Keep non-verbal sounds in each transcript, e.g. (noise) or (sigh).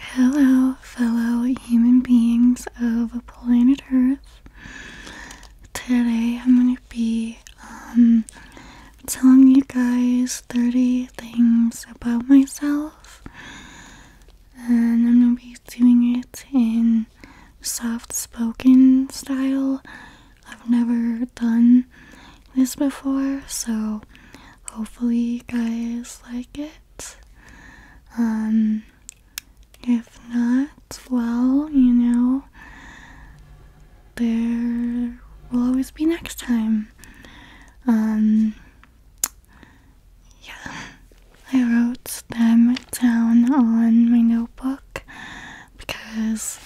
Hello, fellow human beings of planet Earth. Today I'm going to be um, telling you guys 30 things about myself, and I'm going to be doing it in soft spoken style. I've never done this before, so hopefully, you guys like it. Um, if not, well, you know, there will always be next time. Um, yeah, I wrote them down on my notebook because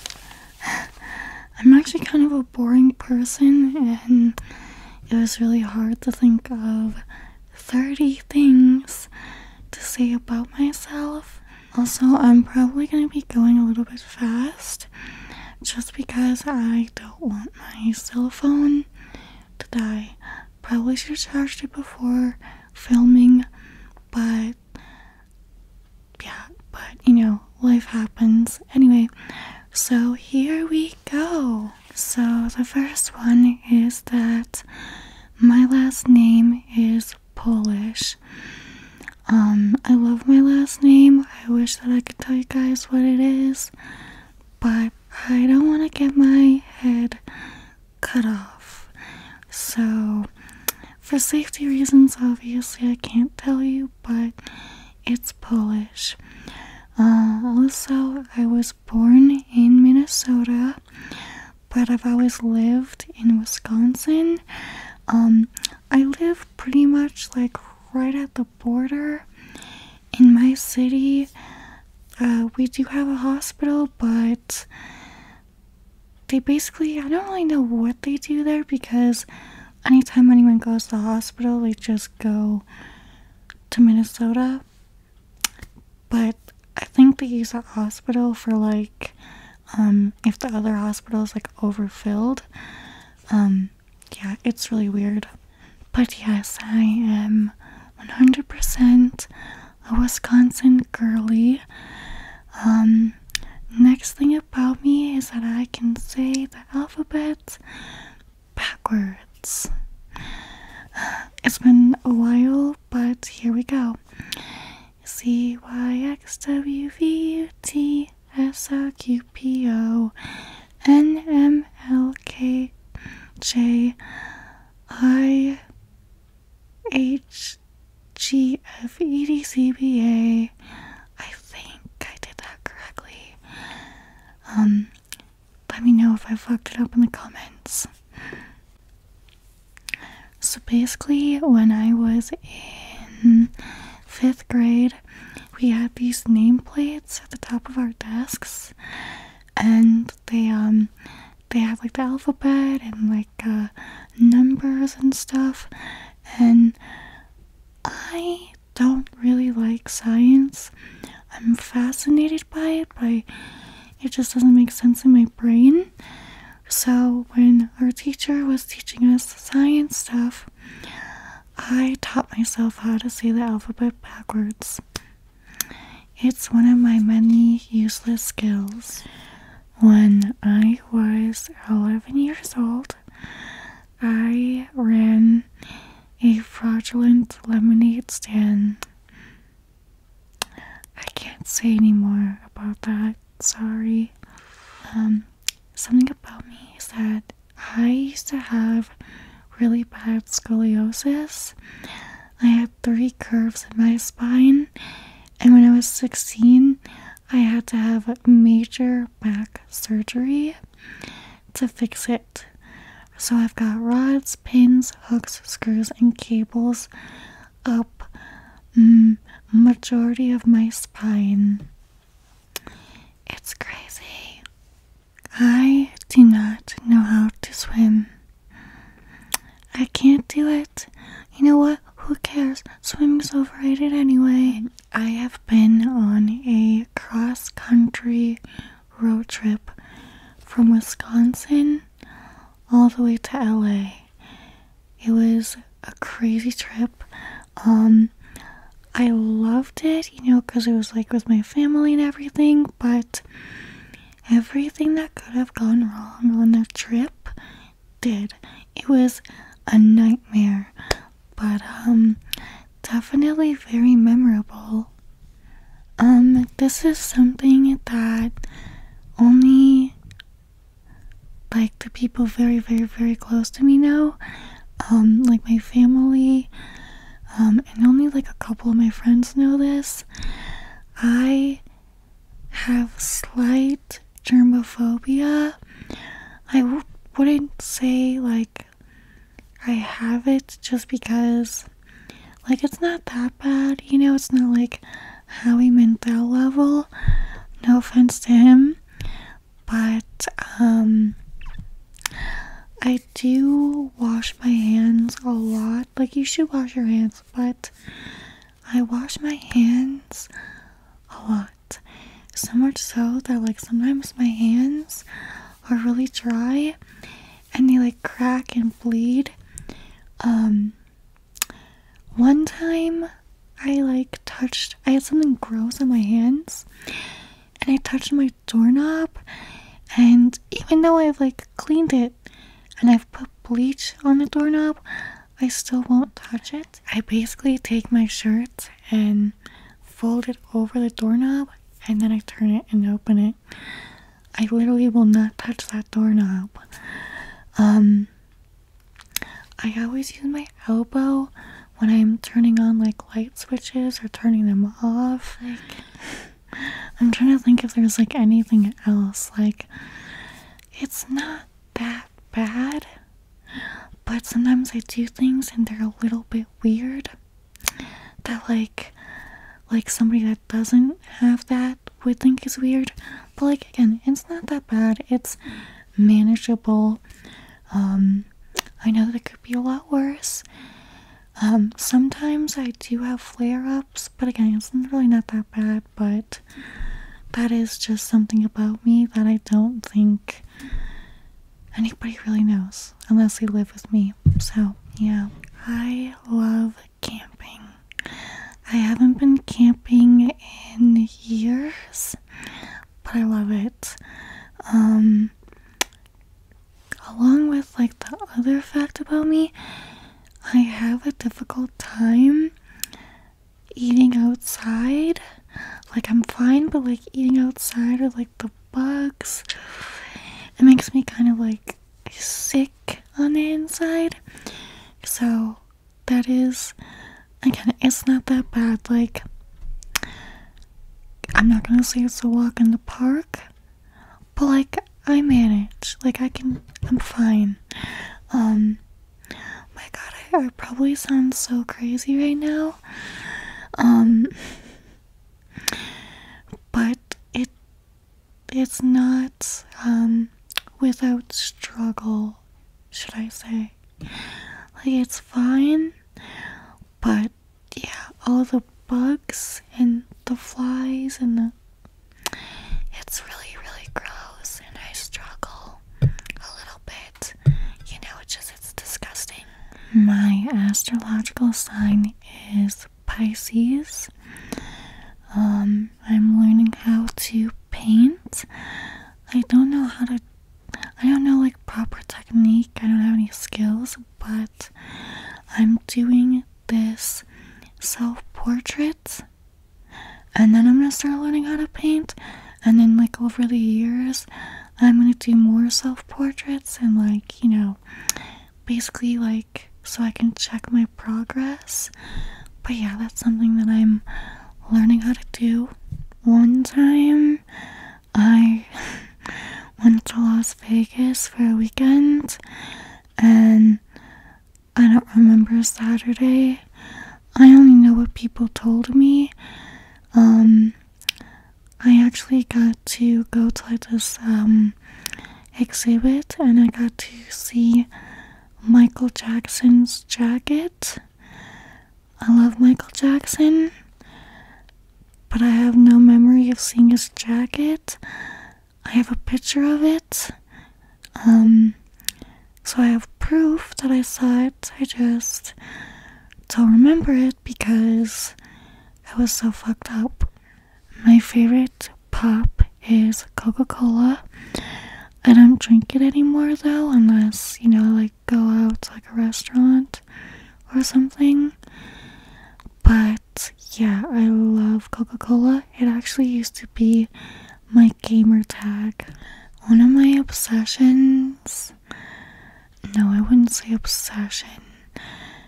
(laughs) I'm actually kind of a boring person and it was really hard to think of 30 things to say about myself. Also, I'm probably going to be going a little bit fast just because I don't want my cell phone to die. Probably should have charged it before filming, but yeah, but you know, life happens. Anyway, so here we go so the first one is that my last name is Polish. Um, I love my last name. I wish that I could tell you guys what it is, but I don't want to get my head cut off. So, for safety reasons, obviously, I can't tell you, but it's Polish. Uh, also, I was born in Minnesota, but I've always lived in Wisconsin. Um, I live pretty much like right at the border. In my city, uh, we do have a hospital, but they basically, I don't really know what they do there because anytime anyone goes to the hospital, we just go to Minnesota. But I think they use that hospital for like um, if the other hospital is like overfilled. Um, yeah, it's really weird. But yes, I am 100% a Wisconsin girly. Um, next thing about me is that I can say the alphabet backwards. (sighs) It's been a while, but here we go. C Y X W V U T S O Q P O N M L K J I H G F E D C B A I think I did that correctly. Um, let me know if I fucked it up in the comments. So basically, when I was in fifth grade, we had these nameplates at the top of our desks, and they um they had like the alphabet and like uh, numbers and stuff, and I don't really like science. I'm fascinated by it, but it just doesn't make sense in my brain. So, when our teacher was teaching us science stuff, I taught myself how to say the alphabet backwards. It's one of my many useless skills. When I was 11 years old, I ran a fraudulent lemonade stand. I can't say anymore about that. Sorry. Um, something about me is that I used to have really bad scoliosis. I had three curves in my spine, and when I was 16, I had to have major back surgery to fix it. So I've got rods, pins, hooks, screws, and cables up mm, majority of my spine. It's crazy. I do not know how to swim. I can't do it. You know what? Who cares? Swimming's overrated anyway. I have been on a cross country road trip from Wisconsin all the way to LA. It was a crazy trip. Um, I loved it, you know, cuz it was like with my family and everything, but everything that could have gone wrong on the trip did. It was a nightmare but um definitely very memorable. Um this is something that only like the people very very very close to me know um like my family um and only like a couple of my friends know this i have slight germophobia I w wouldn't say like I have it just because, like, it's not that bad. You know, it's not like Howie that level. No offense to him. But, um, I do wash my hands a lot. Like, you should wash your hands, but I wash my hands a lot. So much so that like sometimes my hands are really dry and they like crack and bleed. Um one time I like touched I had something gross on my hands and I touched my doorknob and even though I've like cleaned it and I've put bleach on the doorknob, I still won't touch it. I basically take my shirt and fold it over the doorknob, and then I turn it and open it. I literally will not touch that doorknob. Um, I always use my elbow when I'm turning on like light switches or turning them off. Like, I'm trying to think if there's like anything else. Like, it's not that bad, but sometimes I do things and they're a little bit weird that like like somebody that doesn't have that would think is weird but like again it's not that bad it's manageable um i know that could be a lot worse um sometimes i do have flare-ups but again it's really not that bad but that is just something about me that i don't think anybody really knows unless they live with me. So, yeah, I love camping. I haven't been camping in years, but I love it. Um, along with like the other fact about me, I have a difficult time eating outside like, I'm fine, but like eating outside or like the bugs, it makes me kind of like sick on the inside. So, that is again, it's not that bad. Like, I'm not gonna say it's a walk in the park, but like, I manage, like, I can, I'm fine. Um, my god, I probably sound so crazy right now. Um, but it it's not um without struggle, should I say? Like it's fine, but yeah, all the bugs and the flies and the it's really really gross and I struggle a little bit you know, it's just, it's disgusting. My astrological sign is Pisces. Um, I'm learning how to paint. I don't know how to, I don't know like proper technique. I don't have any skills, but I'm doing this self portraits and then I'm gonna start learning how to paint. And then, like, over the years, I'm gonna do more self portraits and, like, you know, basically, like, so I can check my progress. But yeah, that's something that I'm learning how to do. One time, I (laughs) went to Las Vegas for a weekend, and I don't remember Saturday. I only know what people told me. Um, I actually got to go to this um, exhibit and I got to see Michael Jackson's jacket. I love Michael Jackson, but I have no memory of seeing his jacket. I have a picture of it. Um, so I have proof that I saw it. I just don't remember it because that was so fucked up. My favorite pop is Coca Cola. I don't drink it anymore though, unless, you know, like go out to like a restaurant or something. But yeah, I love Coca Cola. It actually used to be my gamer tag. One of my obsessions no, I wouldn't say obsession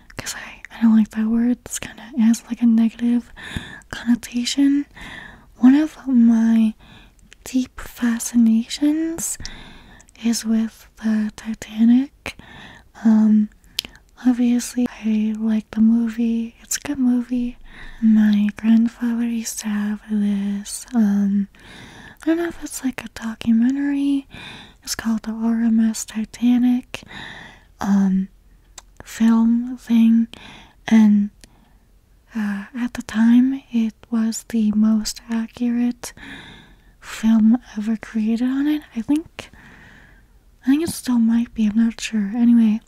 because I, I don't like that word. It's kind of has like a negative connotation. One of my deep fascinations is with the Titanic. Um, obviously, I like the movie, it's a good movie. My grandfather used to have this, um, I don't know if it's like a documentary. It's called the RMS Titanic um, film thing and uh, at the time it was the most accurate film ever created on it. I think I think it still might be, I'm not sure. Anyway,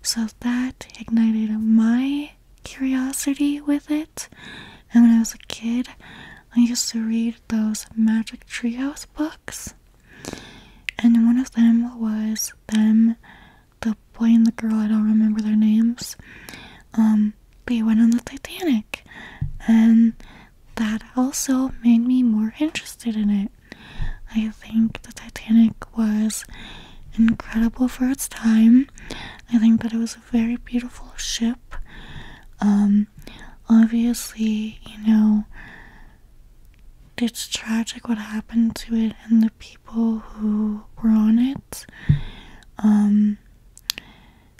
so that ignited my curiosity with it and when I was a kid, I used to read those Magic Tree House books. And one of them was them, the boy and the girl, I don't remember their names. Um, they went on the Titanic. And that also made me more interested in it. I think the Titanic was incredible for its time. I think that it was very beautiful ship. Um, obviously, you know, it's tragic what happened to it and the people who were on it. Um,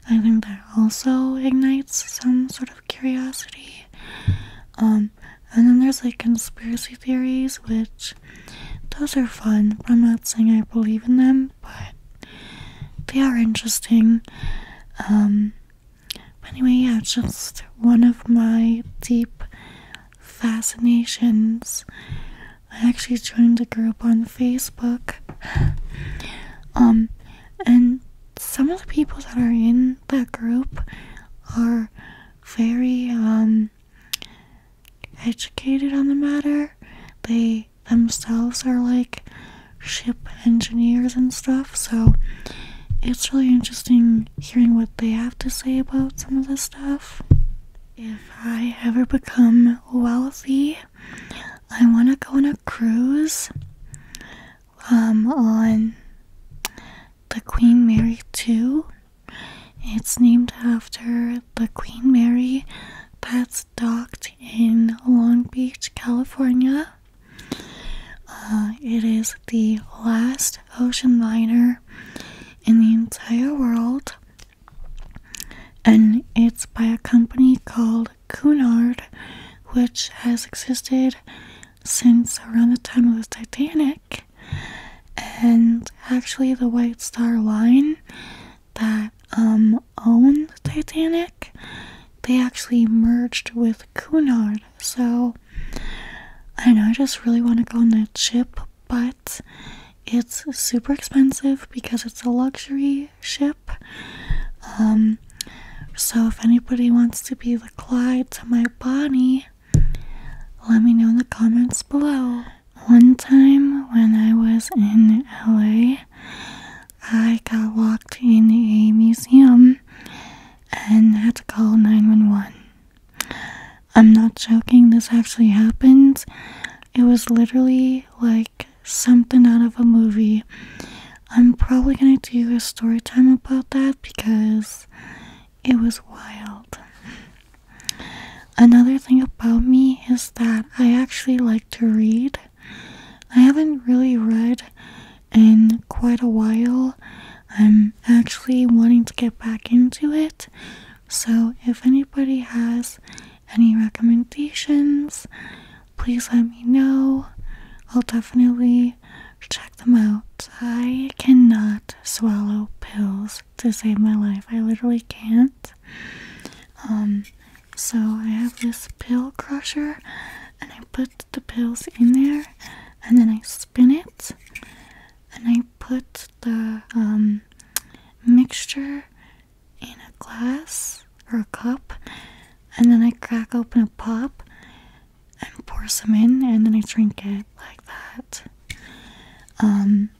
I think that also ignites some sort of curiosity. Um, and then there's like conspiracy theories, which those are fun, but I'm not saying I believe in them but they are interesting. Um, but anyway, yeah, just one of my deep fascinations. I actually joined a group on Facebook. Um, and some of the people that are in that group are very um, educated on the matter. They themselves are like ship engineers and stuff, so it's really interesting hearing what they have to say about some of this stuff. If I ever become wealthy, I want to go on a cruise um, on the Queen Mary 2. It's named after the Queen Mary that's docked in Long Beach, California. Uh, it is the last ocean liner in the entire world, and it's by a company called Cunard, which has existed since around the time of the Titanic. And actually, the White Star Line that um owned Titanic, they actually merged with Cunard. So I know, I just really want to go on that ship, but it's super expensive because it's a luxury ship. Um so if anybody wants to be the Clyde to my Bonnie, let me know in the comments below. One time when I was in LA, I got locked in a museum and had to call 911. I'm not joking, this actually happened. It was literally like something out of a movie. I'm probably gonna do a story time about that because it was wild. Another thing about me is that I actually like to read. I haven't really read in quite a while. I'm actually wanting to get back into it. So, if anybody has any recommendations, please let me know. I'll definitely check them out. I cannot swallow pills to save my life. I literally can't. Um, so I have this pill crusher, and I put the pills in there, and then I spin it, and I put the um, mixture in a glass or a cup, and then I crack open a pop and pour some in, and then I drink it like that. Um,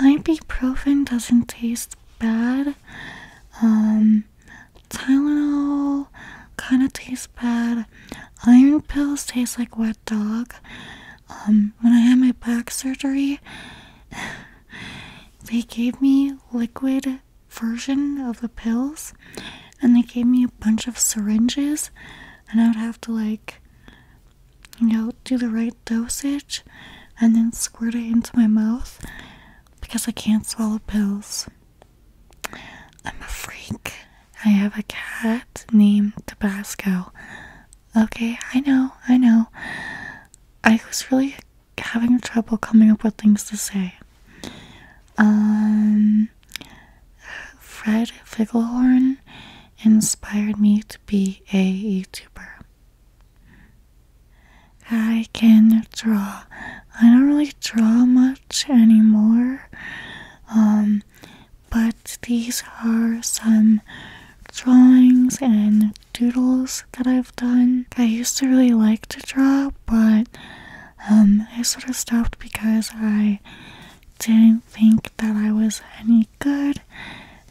Ibuprofen doesn't taste bad. Um, Tylenol kind of tastes bad. Iron pills taste like wet dog. Um, when I had my back surgery, (sighs) they gave me liquid version of the pills, and they gave me a bunch of syringes, and I would have to like you know, do the right dosage and then squirt it into my mouth because I can't swallow pills. I'm a freak. I have a cat named Tabasco. Okay, I know, I know. I was really having trouble coming up with things to say. Um, Fred Figglehorn inspired me to be a YouTuber. I can draw. I don't really draw much anymore, um, but these are some drawings and doodles that I've done. I used to really like to draw, but um, I sort of stopped because I didn't think that I was any good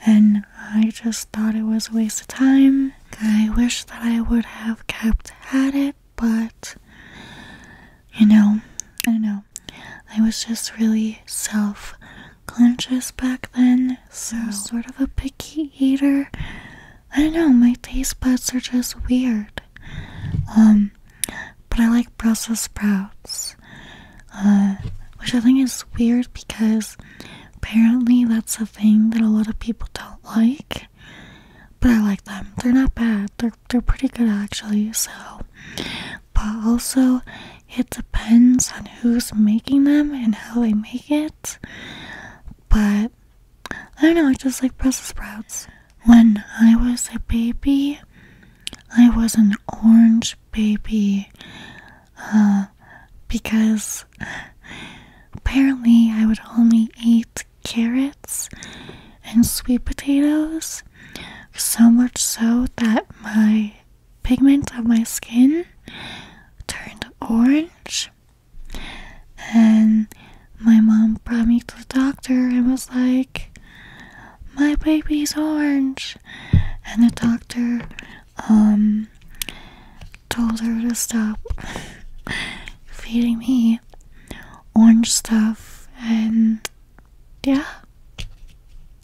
and I just thought it was a waste of time. I wish that I would have kept at it, but you know, I don't know. I was just really self conscious back then, so mm. sort of a picky eater. I don't know, my taste buds are just weird. Um but I like Brussels sprouts, uh, which I think is weird because apparently that's a thing that a lot of people don't like. But I like them. They're not bad. They're they're pretty good actually. So, but also it depends on who's making them and how they make it. But I don't know. I just like Brussels sprouts. When I was a baby, I was an orange baby. Uh, because apparently I would only eat carrots and sweet potatoes, so much so that my pigment of my skin turned orange. And my mom brought me to the doctor and was like, my baby's orange and the doctor um told her to stop (laughs) feeding me orange stuff and yeah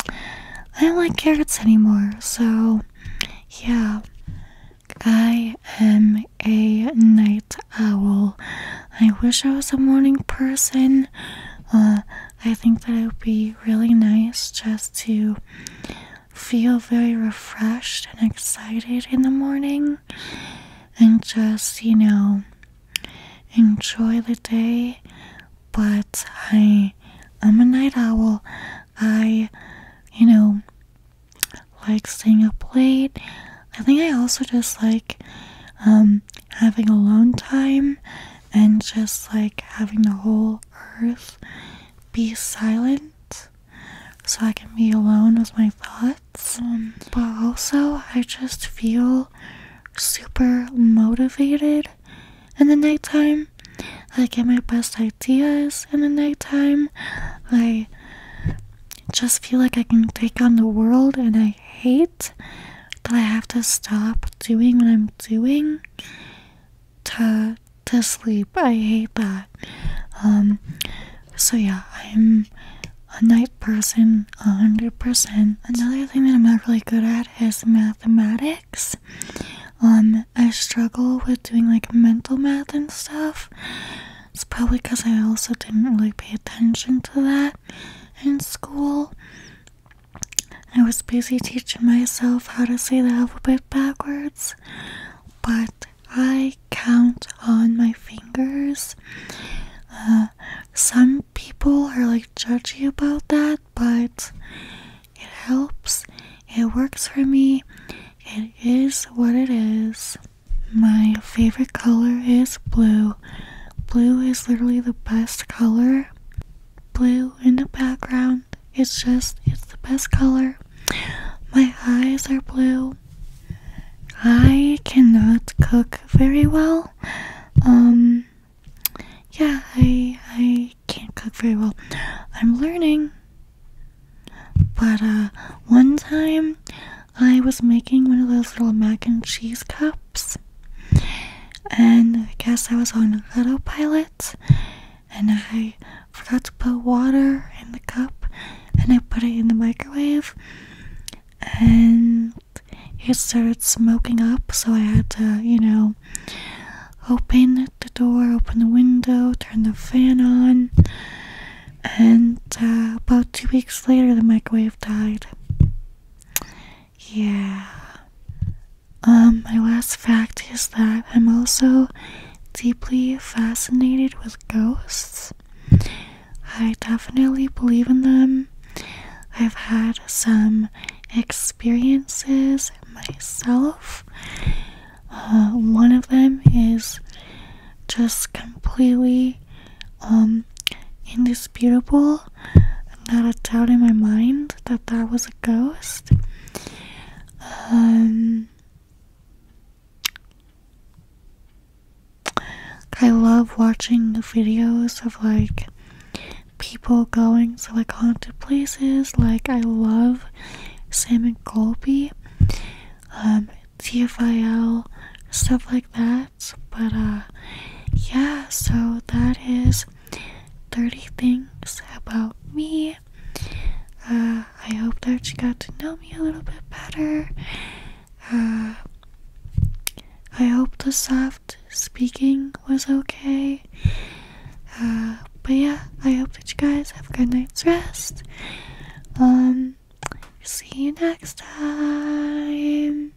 I don't like carrots anymore so yeah I am a night owl. I wish I was a morning person. Uh, I think that it would be really nice just to feel very refreshed and excited in the morning and just, you know, enjoy the day. But I am a night owl. I, you know, like staying up late. I think I also just like um having alone time and just like having the whole earth be silent so I can be alone with my thoughts. but also, I just feel super motivated in the nighttime. I get my best ideas in the nighttime. I just feel like I can take on the world and I hate that I have to stop doing what I'm doing to to sleep. I hate that. Um, so yeah, I'm a night person, a hundred percent. Another thing that I'm not really good at is mathematics. Um, I struggle with doing like mental math and stuff. It's probably because I also didn't really pay attention to that in school. I was busy teaching myself how to say the alphabet backwards, but I count on my fingers. Uh, some people are like judgy about that, but it helps. It works for me. It is what it is. My favorite color is blue. Blue is literally the best color blue in the background. It's just, it's the best color. My eyes are blue. I cannot cook very well. Um, yeah, I, I can't cook very well. I'm learning. But, uh, one time I was making one of those little mac and cheese cups and I guess I was on autopilot and I forgot to put water in the cup and I put it in the microwave and it started smoking up so I had to, you know, open the door, open the window, turn the fan on and uh, about two weeks later the microwave died. Yeah. Um, my last fact is that I'm also deeply fascinated with ghosts. I definitely believe in them. I've had some experiences myself. Uh, one of them is just completely um, indisputable not a doubt in my mind that that was a ghost. Um, I love watching videos of like people going to like haunted places. Like I love Sam and Colby, um, TFIL, stuff like that. But uh, yeah, so that is 30 things about me. Uh, I hope that you got to know me a little bit better. Uh, I hope the soft speaking was okay. but yeah, I hope that you guys have a good night's rest. Um, see you next time.